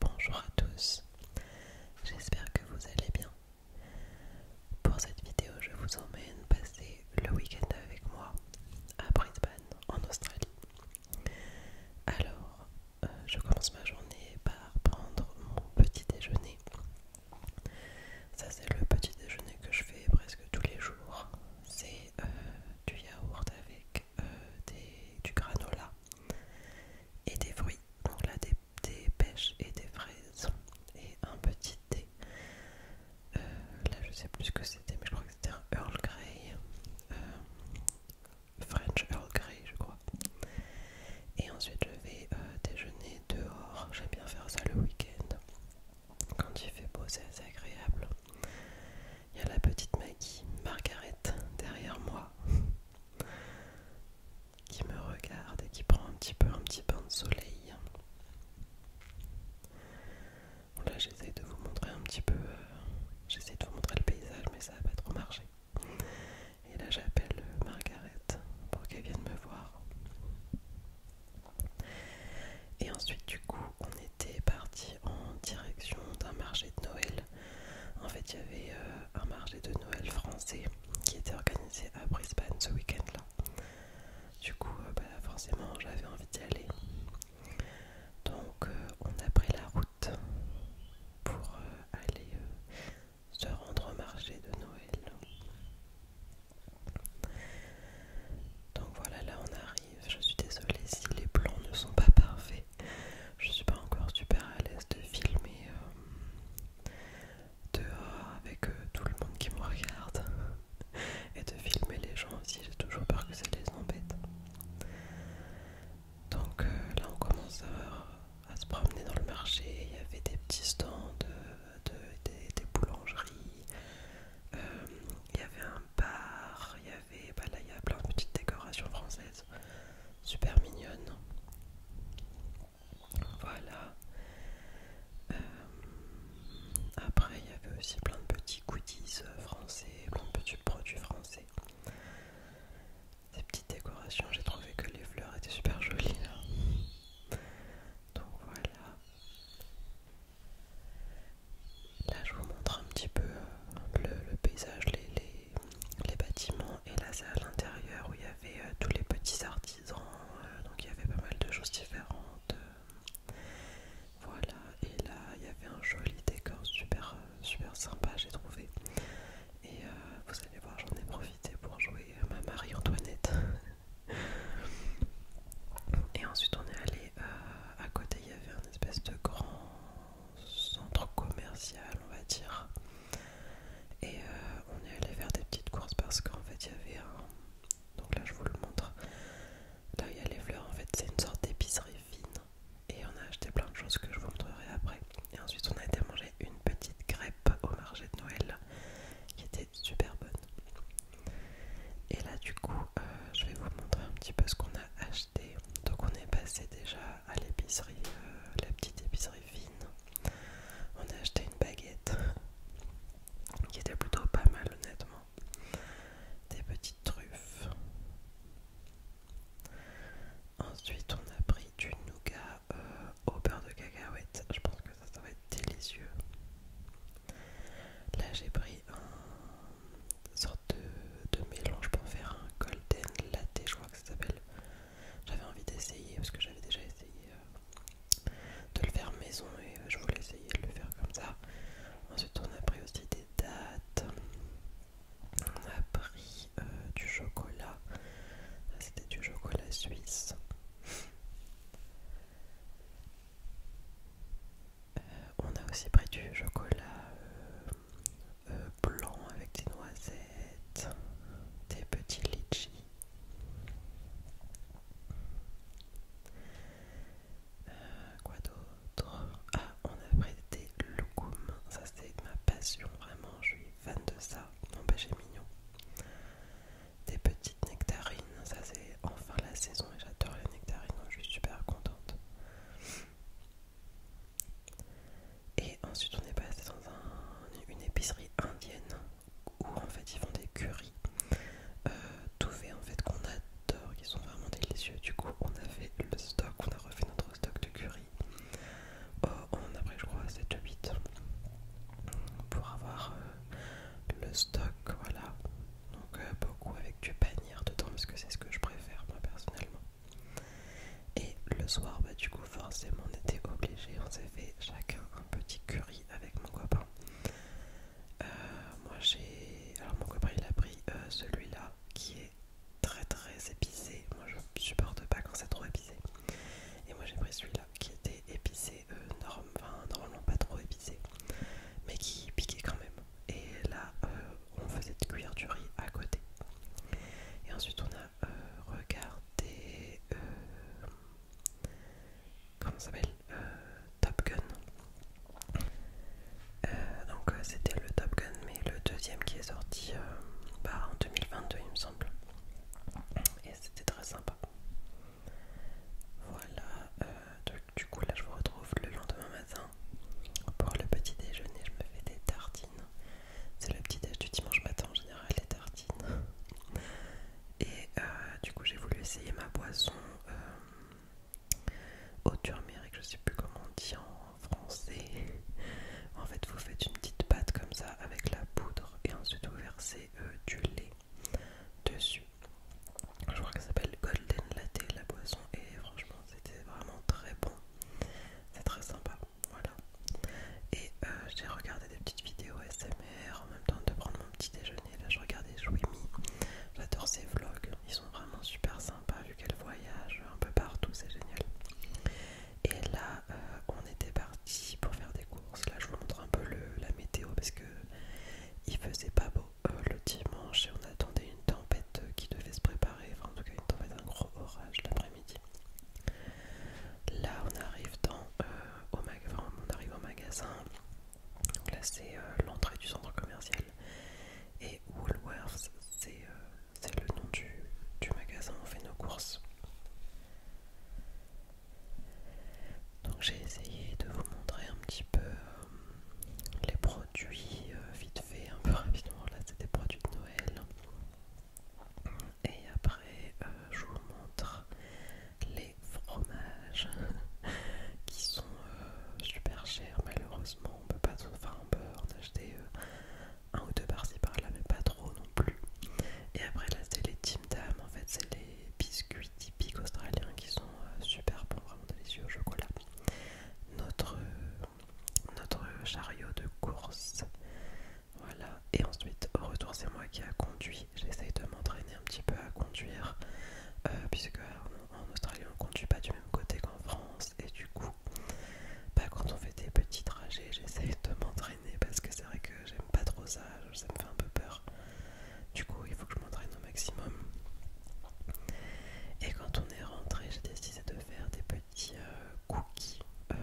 Bonjour à tous, j'espère que vous allez bien. Pour cette vidéo, je vous emmène passer le week-end avec moi à Brisbane, en Australie. Alors, euh, je commence ma journée par prendre mon petit déjeuner. Ça, c'est le petit déjeuner que je fais presque tous les jours. C'est euh, du yaourt avec euh, du granola et des fruits, donc là des, pêches et des fraises et un petit thé. Euh, là je sais plus ce que c'était, mais je crois que c'était un Earl Grey, euh, French Earl Grey je crois. Et ensuite je vais déjeuner dehors, j'aime bien faire ça le week-end. Quand il fait beau, c'est assez agréable. Il y a la petite Maggie, Margaret, derrière moi, qui me regarde et qui prend un petit peu un petit bain de soleil. là, j'essaye de vous montrer un petit peu. j'essaye euh, j'essaie de vous montrer le paysage, mais ça n'a pas trop marché. Et là, j'appelle euh, Margaret pour qu'elle vienne me voir. Et ensuite, du coup, on était parti en direction d'un marché de Noël. En fait, il y avait euh, un marché de Noël français qui était organisé à Brisbane ce week-end-là. Du coup, euh, bah, forcément, j'avais envie d'y aller. Donc, euh, on a pris la route pour aller se rendre au marché de Noël. Donc voilà, là on arrive je suis désolée si les plans ne sont pas parfaits. Je suis pas encore super à l'aise de filmer euh, dehors avec euh, tout le monde qui me regarde et de filmer les gens aussi. J'ai toujours peur que ça les embête. Donc euh, là, on commence à, se promener dans le marché. Il y avait des petits stands, des, boulangeries. il y avait un part, il y avait, bah, là il y a plein de petites décorations françaises, super mignonnes. Voilà. Euh, après il y avait aussi plein de petits goodies euh, français, plein de petits produits français. Des petites décorations, j'ai trouvé que les fleurs étaient super jolies là. Donc voilà. Là, je vous montre un petit peu euh, le, paysage, les, bâtiments. Et là, c'est à l'intérieur où il y avait euh, tous les petits artisans. Euh, donc, il y avait pas mal de choses différentes. voilà. Et là, il y avait un joli décor super, super sympa, j'ai trouvé. Et vous allez voir, j'en ai profité pour jouer ma Marie-Antoinette. Et ensuite on est allé euh, à côté, il y avait un espèce de grand centre commercial, on va dire. Et euh, on est allé faire des petites courses parce qu'en fait il y avait un... Donc là je vous le montre. Là il y a les fleurs, en fait c'est une sorte d'épicerie fine. Et on a acheté plein de choses que je vous montrerai après. Et ensuite on a été manger une petite crêpe au marché de Noël qui était super bonne. Et là du coup euh, je vais vous montrer un petit peu ce qu'on a acheté. Donc on est passé déjà à l'épicerie, euh, la petite épicerie fine. On a acheté une baguette qui était plutôt pas mal honnêtement. Des petites truffes. Ensuite on a pris du nougat euh, au beurre de cacahuète. Je pense que ça, va être délicieux. Là, j'ai pris un sorte de, mélange pour faire un golden latte, je crois que ça s'appelle. J'avais envie d'essayer parce que j'avais déjà essayé euh, de le faire maison et euh, je voulais essayer de le faire comme ça. Ensuite, on a pris aussi des dates. On a pris euh, du chocolat. C'était du chocolat suisse. Euh, on a aussi pris du chocolat euh, euh, blanc avec des noisettes, des petits litchis. quoi d'autre Ah, on a pris des loukoums, ça c'est ma passion, vraiment, je suis fan de ça. mon mignon des petites nectarines. Ça, c'est enfin la saison et j'adore les nectarines, je suis super contente. Et ensuite, on est passé dans une épicerie indienne où en fait ils font des curries euh, tout fait en fait qu'on adore, qui sont vraiment délicieux. Du coup, on a fait le stock, on a refait notre stock de curry on euh, a pris je crois 7 8 pour avoir euh, le stock voilà donc euh, beaucoup avec du panier dedans parce que c'est ce que je préfère moi personnellement et le soir bah du coup forcément on était obligés on s'est fait chacun un petit curry avec mon copain moi j'ai alors mon copain il a pris celui là qui est très très épicé moi je supporte pas quand c'est trop épicé et moi j'ai pris celui là qui était épicé, euh, normalement pas trop épicé, mais qui piquait quand même. Et là, euh, on faisait de cuire du riz à côté. Et ensuite, on a euh, regardé. comment ça s'appelle Top Gun. donc, c'était le Top Gun, mais le deuxième qui est sorti bah, en 2022, il me semble et c'était très sympa. Voilà, euh, du coup là je vous retrouve le lendemain matin pour le petit déjeuner. Je me fais des tartines. C'est le petit déj du dimanche matin en général, les tartines. Et euh, du coup j'ai voulu essayer ma boisson euh, au turmeric, je sais plus comment on dit en en français. En fait, vous faites une petite pâte comme ça avec la poudre et ensuite vous versez euh, du lait dessus. Je crois qu'elle s'appelle Golden Latte la boisson et franchement, c'était vraiment très bon. C'est très sympa, voilà. Et euh, j'ai regardé des petites vidéos SMR en même temps de prendre mon petit déjeuner. Là, je regardais mis J'adore ses vlogs, ils sont vraiment super sympas vu qu'elle voyage un peu partout, c'est génial. Et là, euh, on était parti pour faire des courses. Là, je vous montre un peu la météo parce que il faisait pas beau euh, le dimanche et on attendait une tempête qui devait se préparer. Enfin, en tout cas, une tempête, un gros orage l'après-midi. Là, on arrive dans euh, au on arrive au magasin. là, c'est l'entrée du centre commercial. Et Woolworth c'est c'est le nom du, magasin où on fait nos courses. Donc j'ai essayé de vous montrer un petit peu euh, les produits euh, vite fait, un peu rapidement. Là c'est des produits de Noël. Et après euh, je vous montre les fromages qui sont super chers malheureusement. On peut pas enfin en acheter un ou deux par-ci par-là, mais pas trop non plus. Et après, là, c'est les Tim en fait, c'est les biscuits typiques australiens qui sont euh, super bons, vraiment délicieux au chocolat. Notre, notre chariot de course, voilà. Et ensuite, au retour, c'est moi qui a conduit. J'essaye de m'entraîner un petit peu à conduire, euh, puisque euh, en, Australie, on conduit pas du même côté qu'en France, et du coup, bah, quand on fait des petits trajets, j'essaie de m'entraîner parce que c'est vrai que j'aime pas trop ça, ça me fait un peu peur. Du coup, il faut que je m'entraîne au maximum. Et quand on est rentré, j'ai décidé de faire des petits euh, cookies euh,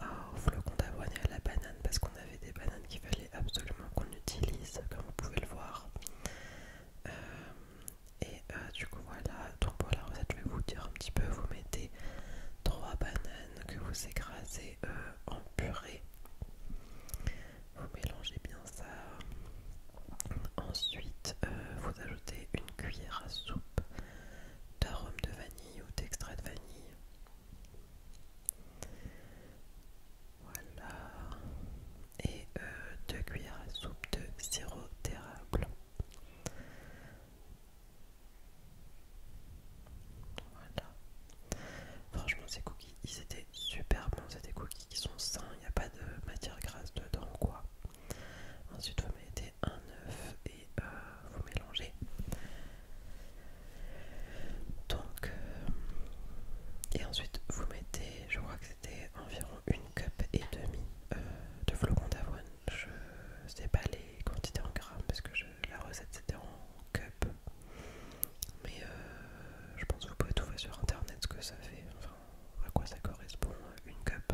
au flocon d'avoine à la banane parce qu'on avait des bananes qu'il fallait absolument qu'on utilise, comme vous pouvez le voir. Euh, et euh, du coup voilà, donc pour la recette je vais vous dire un petit peu, vous mettez trois bananes que vous écrasez euh, en purée. Vous mélangez bien ça. Ensuite, euh, vous ajoutez une cuillère à soupe d'arôme de vanille ou d'extrait de vanille. Voilà. Et 2 euh, cuillères à soupe de sirop d'érable. Voilà. Franchement, ces cookies, ils étaient super bons. C'est des cookies qui sont sains, il n'y a pas de matière grasse dedans, quoi. Ensuite, vous mettez un œuf et euh, vous mélangez. Donc, euh, et ensuite, vous mettez, je crois que c'était environ une cup et demie euh, de flocons d'avoine. Je sais pas les quantités en grammes parce que la recette c'était en cup. Mais euh, je pense que vous pouvez trouver sur internet ce que ça fait, enfin à quoi ça correspond euh, une cup,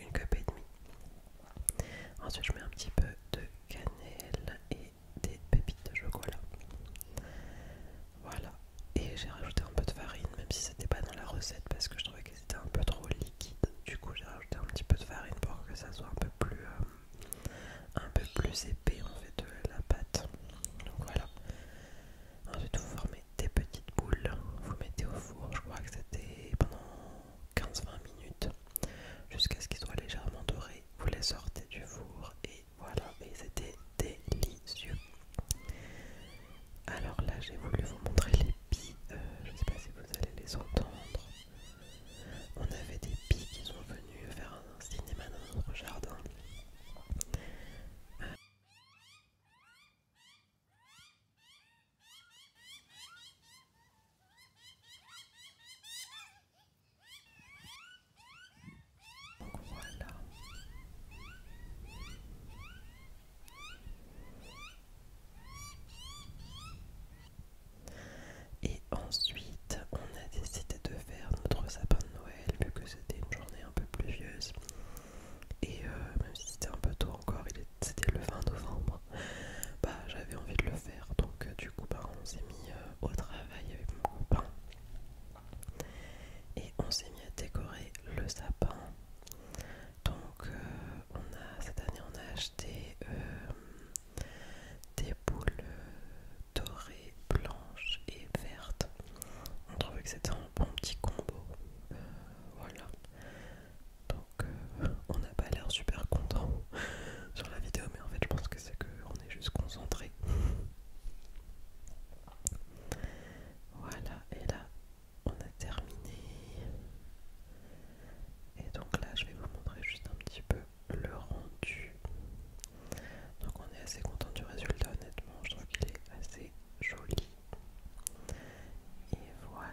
une cup et demie. Ensuite je mets un petit peu de cannelle et des pépites de chocolat. Voilà. Et j'ai rajouté un peu de farine, même si c'était pas dans la recette parce que je trouvais que c'était un peu trop liquide. Du coup, j'ai rajouté un petit peu de farine pour que ça soit un peu plus, euh, un peu plus épais en fait de euh, la pâte. Donc voilà. Ensuite, vous formez des petites boules. Vous mettez au four. Je crois que c'était pendant 15-20 minutes jusqu'à ce qu'ils soient légèrement dorés. Vous les sortez du four et voilà, et c'était délicieux. Alors là, j'ai voulu vous montrer les billes, euh, je ne sais pas si vous allez les entendre. On avait des billes qui sont venus faire un cinéma dans notre jardin. Et ensuite, on a décidé de faire notre sapin de Noël, vu que c'était une journée un peu pluvieuse. Et euh, même si c'était un peu tôt encore, c'était le 20 novembre, bah j'avais envie de le faire. Donc euh, du coup, bah, on s'est mis euh, au travail y avec mon copain et on s'est mis à décorer le sapin. Donc euh, on a cette année on a acheté euh, des boules dorées, blanches et vertes. On trouvait que c'était un bon petit combo. Euh, voilà. Donc on n'a pas l'air super content sur la vidéo, mais en fait, je pense que c'est qu'on est juste concentré. Voilà, et là, on a terminé. Et donc là, je vais vous montrer juste un petit peu le rendu. Donc on est assez content du résultat, honnêtement, je trouve qu'il est assez joli. Et voilà.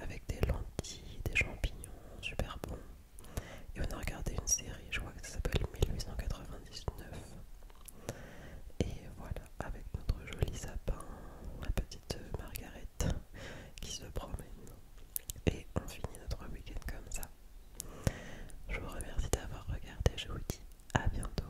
avec des lentilles, des champignons, super bon. Et on a regardé une série, je crois que ça s'appelle 1899. Et voilà, avec notre joli sapin, la petite Margaret qui se promène. Et on finit notre week-end comme ça. Je vous remercie d'avoir regardé, je vous dis à bientôt.